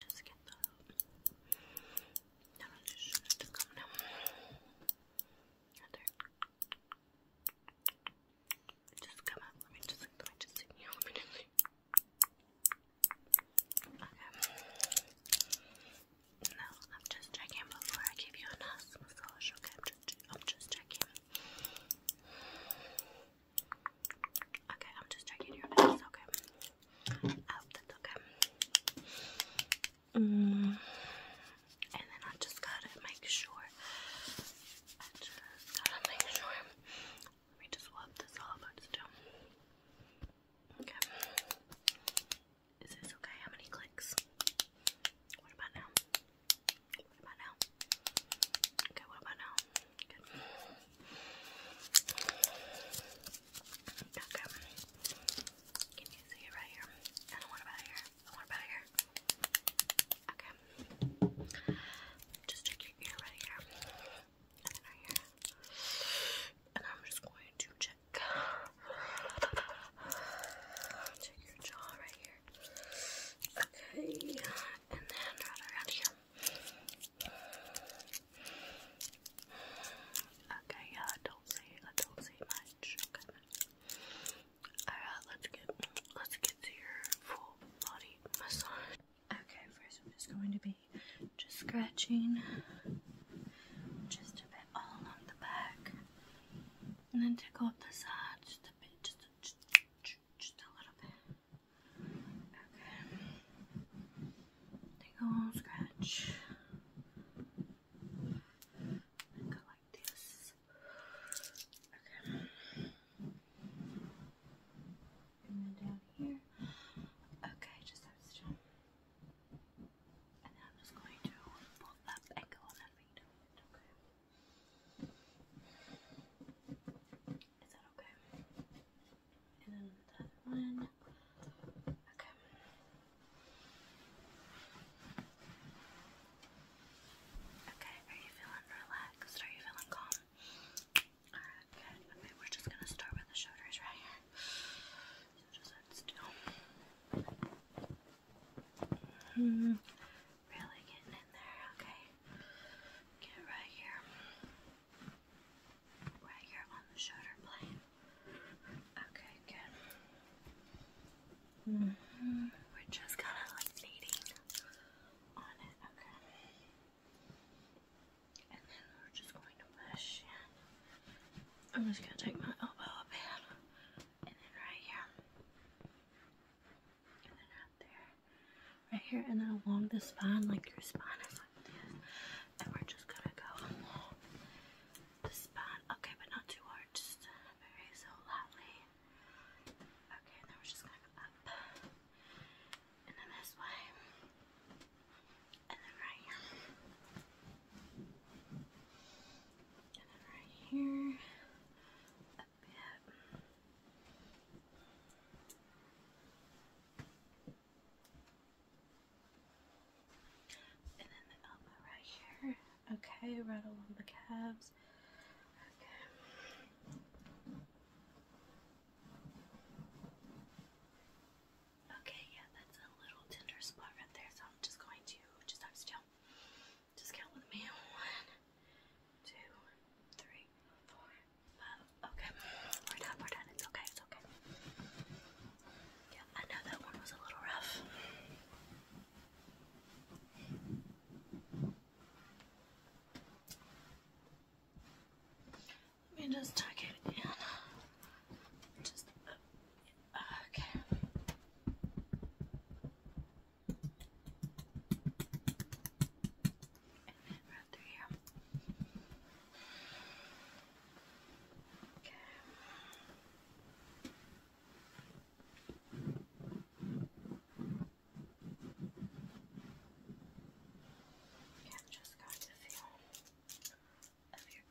just get that up. No, no, just, come now. Just come out. Let me just, let me just see. Let Okay. No, I'm just checking before I give you a nice massage. Okay, I'm just, I'm just checking. Okay, I'm just checking your eyes, okay? I hope that's okay. And then I just gotta make sure. I just gotta make sure. Let me just wipe this all over Okay. Is this okay? How many clicks? What about now? What about now? Okay, what about now? Okay. Can you see it right here? I don't want it here. I want it here. Okay. Just check your ear right here. right here. And I'm just going to check. Uh, check your jaw right here. Okay. And then right around here. Okay, yeah, I don't say. I don't see much. Alright, let's get, let's get to your full body massage. Okay, first I'm just going to be just scratching just a bit all along the back, and then tickle up the sides just a bit, just a little bit. Okay. Take a scratch. And go like this. Okay. And then down here. Okay, just have to jump. And then I'm just going to pull up and on that feet. Okay. Is that okay? and then Okay. Okay, are you feeling relaxed? Are you feeling calm? Alright, good. Okay, we're just gonna start with the shoulders right here. just sit still. Mm, really getting in there, okay. Get right here right here on the shoulder blade. Okay, good. Mm-hmm. We're just kind of like kneading on it, okay? And then we're just going to push in. I'm just going to take my elbow up in, and then right here, and then out there, right here and then along the spine, like your spine is like this. And we're just gonna go along the spine. Okay, but not too hard, just very so Okay, and then we're just gonna go up. And then this way. And then right here. And then right here. A bit. Okay, right along the calves. Okay. yeah, that's a little tender spot right there. So I'm just going to just have still. Just count with me. One, two, three, four, um, okay. We're done. We're done. It's okay. It's okay. Yeah, I know that one was a little rough. Let me just tuck it in. Just uh, okay and right through here. Okay. Okay, just going to feel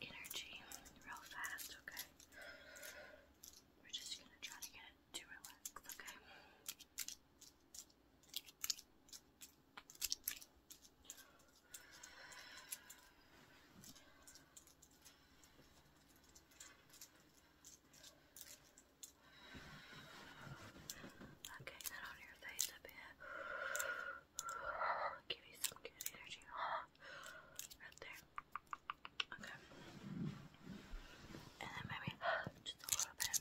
your energy real fast, okay? We're just gonna try to get it to relax, Okay. Okay, that on your face a bit. Give you some good energy. Right there. Okay. And then maybe just a little bit.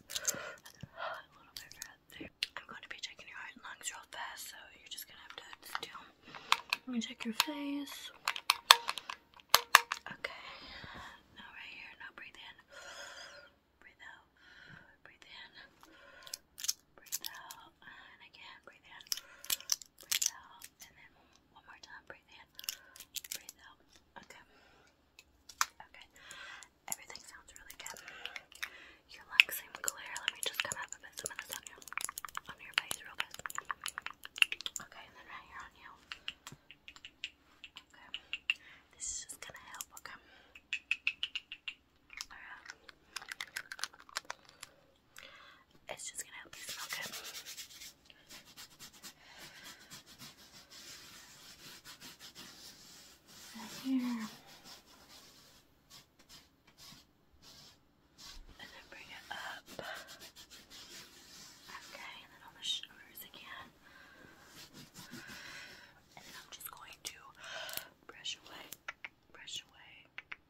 a little bit I'm going to be checking your heart and lungs real fast, so you're just gonna have to sit down. I'm going check your face. Okay. Now right here. Now breathe in. Breathe out. Breathe in. Breathe out. And again, breathe in. Breathe out. And then one more time. Breathe in. Breathe out. Okay. Okay. Everything sounds really good. Your legs seem clear. Let me just come up and put some of this on your, on your face real fast. Okay, and then right here on you. Okay. This is just gonna help, okay? Alright. It's just gonna help you smell good right here. And then bring it up. Okay, and then on the shoulders again. And then I'm just going to brush away, brush away,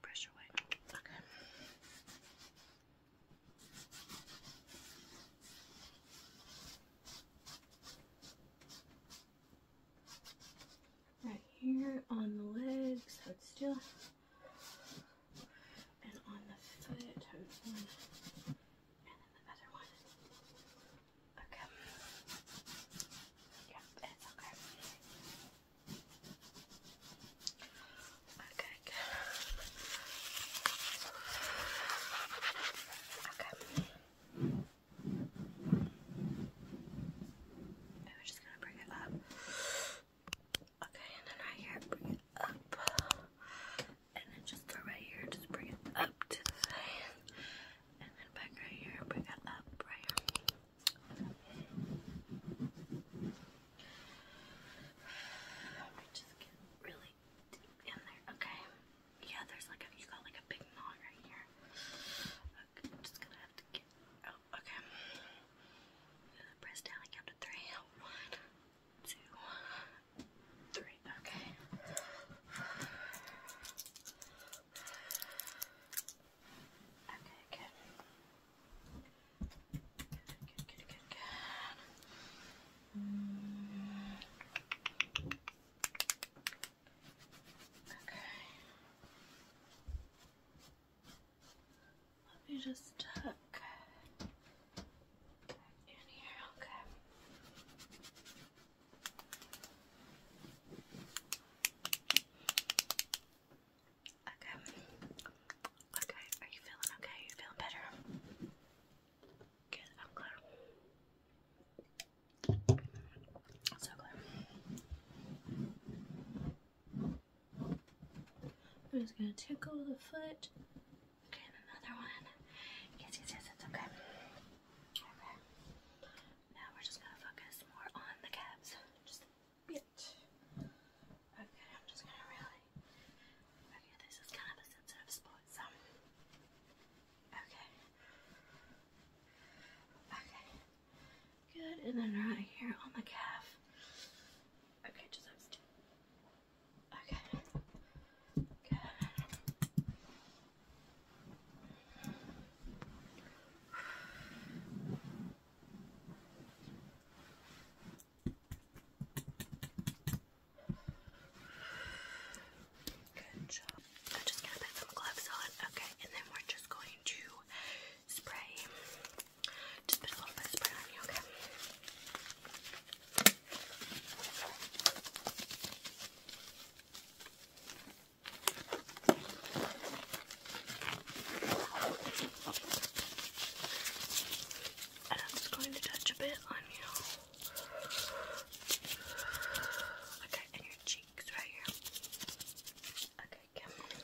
brush away. Okay right here on the legs, so it's still, and on the foot, and then the other one. Okay. Yep, it's okay. Okay, Okay. And we're just gonna bring it up. Okay, and then right here, bring it up. And then just right here, just bring it up to the side. And then back right here, bring it up right here. Let me just get really deep in there, okay? Yeah, there's like a, you got like a big knot right here. Okay, oh, Press down and count to three. One, okay. Okay, good. Good, good, good, good. Okay. Let me just tuck back in here, okay. Okay. Okay, are you feeling okay? you feeling better? Good, I'm so clear. I'm just gonna tickle the foot. Okay, another one. yes, yes, it's okay. Okay. Now we're just gonna focus more on the calves. Just a bit. Okay, I'm just gonna really. Okay, this is kind of a sensitive spot. Okay. Okay. Good. And then right here on the calf. Okay, just have to. Okay. Okay. I'm just gonna put some gloves on. Okay, and then we're just going to spray. Just put a little bit of spray on you, okay? And I'm just going to touch a bit on you. Okay, and your cheeks right here. Okay, come on. Okay.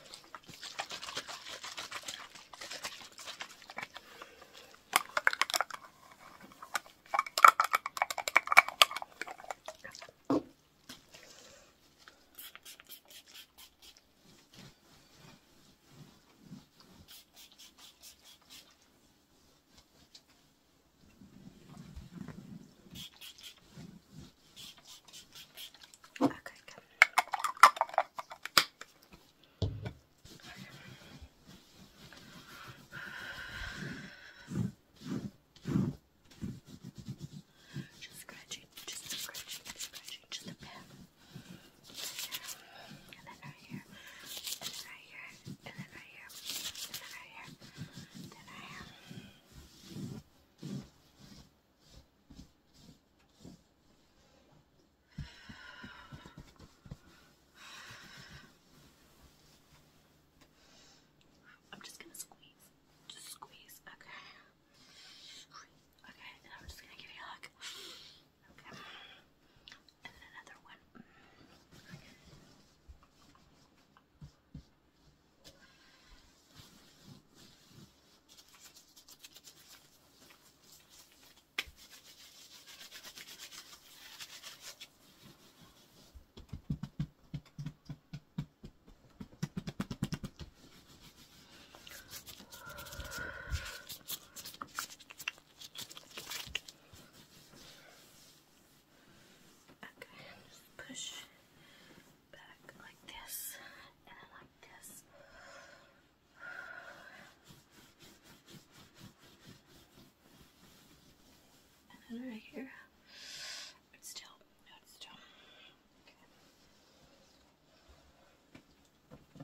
Okay, good. Just scratching, just scratching, just scratching, just a bit. Right there. And then right here here, then right here, then right here, then right here, then right here. I'm just gonna squeeze. Just squeeze. Okay. Okay, and I'm just gonna give you a hug. Okay. And then another one. Okay, and just push back like this and then like this. And then right here. still, still.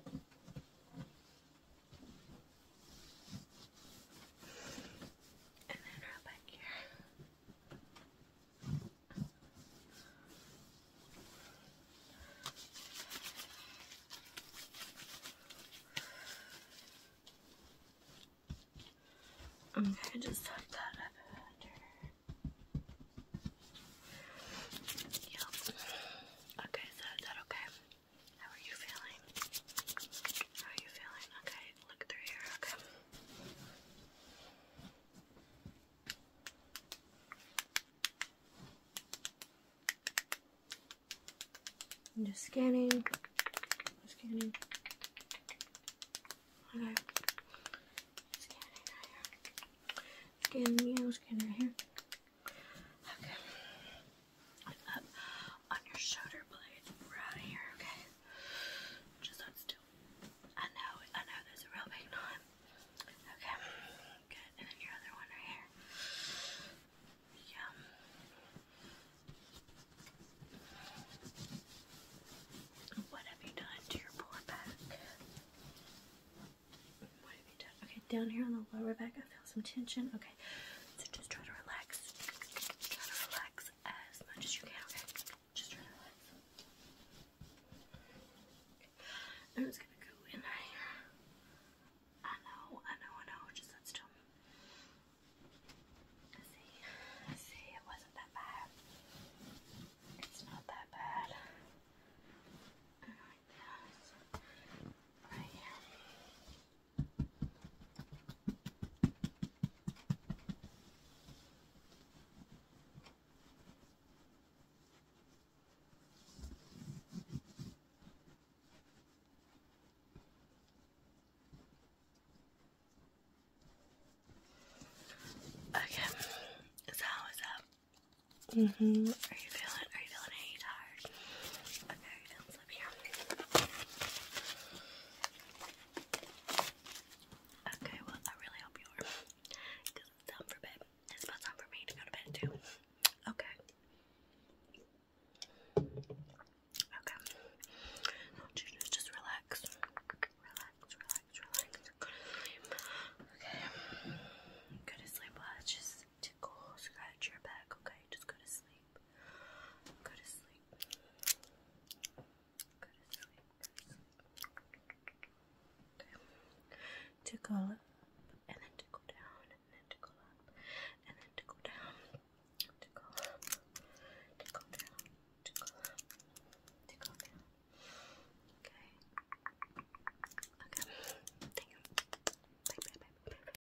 Okay. And then right back here. okay, just tuck that up under. Okay, so is that okay? How are you feeling? How are you feeling? Okay, look through here, okay. I'm just scanning. Scanning. Okay. Scanning right here. Scanning scanning right here. Okay up uh, on your shoulder blade right here, okay? Just hold still. I know, I know there's a real big knot. Okay, good. And then your other one right here. Yeah. What have you done to your poor back? What have you done? Okay, down here on the lower back, I feel some tension. Okay. So just try to relax. Try to relax as much as you can, okay? I'm just gonna go in here. I know, I know, I know, just sit still. I see, see, it wasn't that bad. It's not that bad. And like Right here. Okay, so what's up? Mm-hmm. Are you feeling? Are you feeling? Are tired? Okay, well, I really hope you are. it's time for bed. It's about time for me to go to bed, too. Okay. Okay. Just, relax. Relax, relax, relax. Okay. Go to sleep. just tickle scratch your back, okay? Just go to sleep. Go to sleep. Go to sleep. Okay. Tickle up and then tickle down and then tickle up and then tickle down. Tickle Tickle down. Tickle Tickle down. Okay. Okay. Thank you. Bye bye bye bye. bye.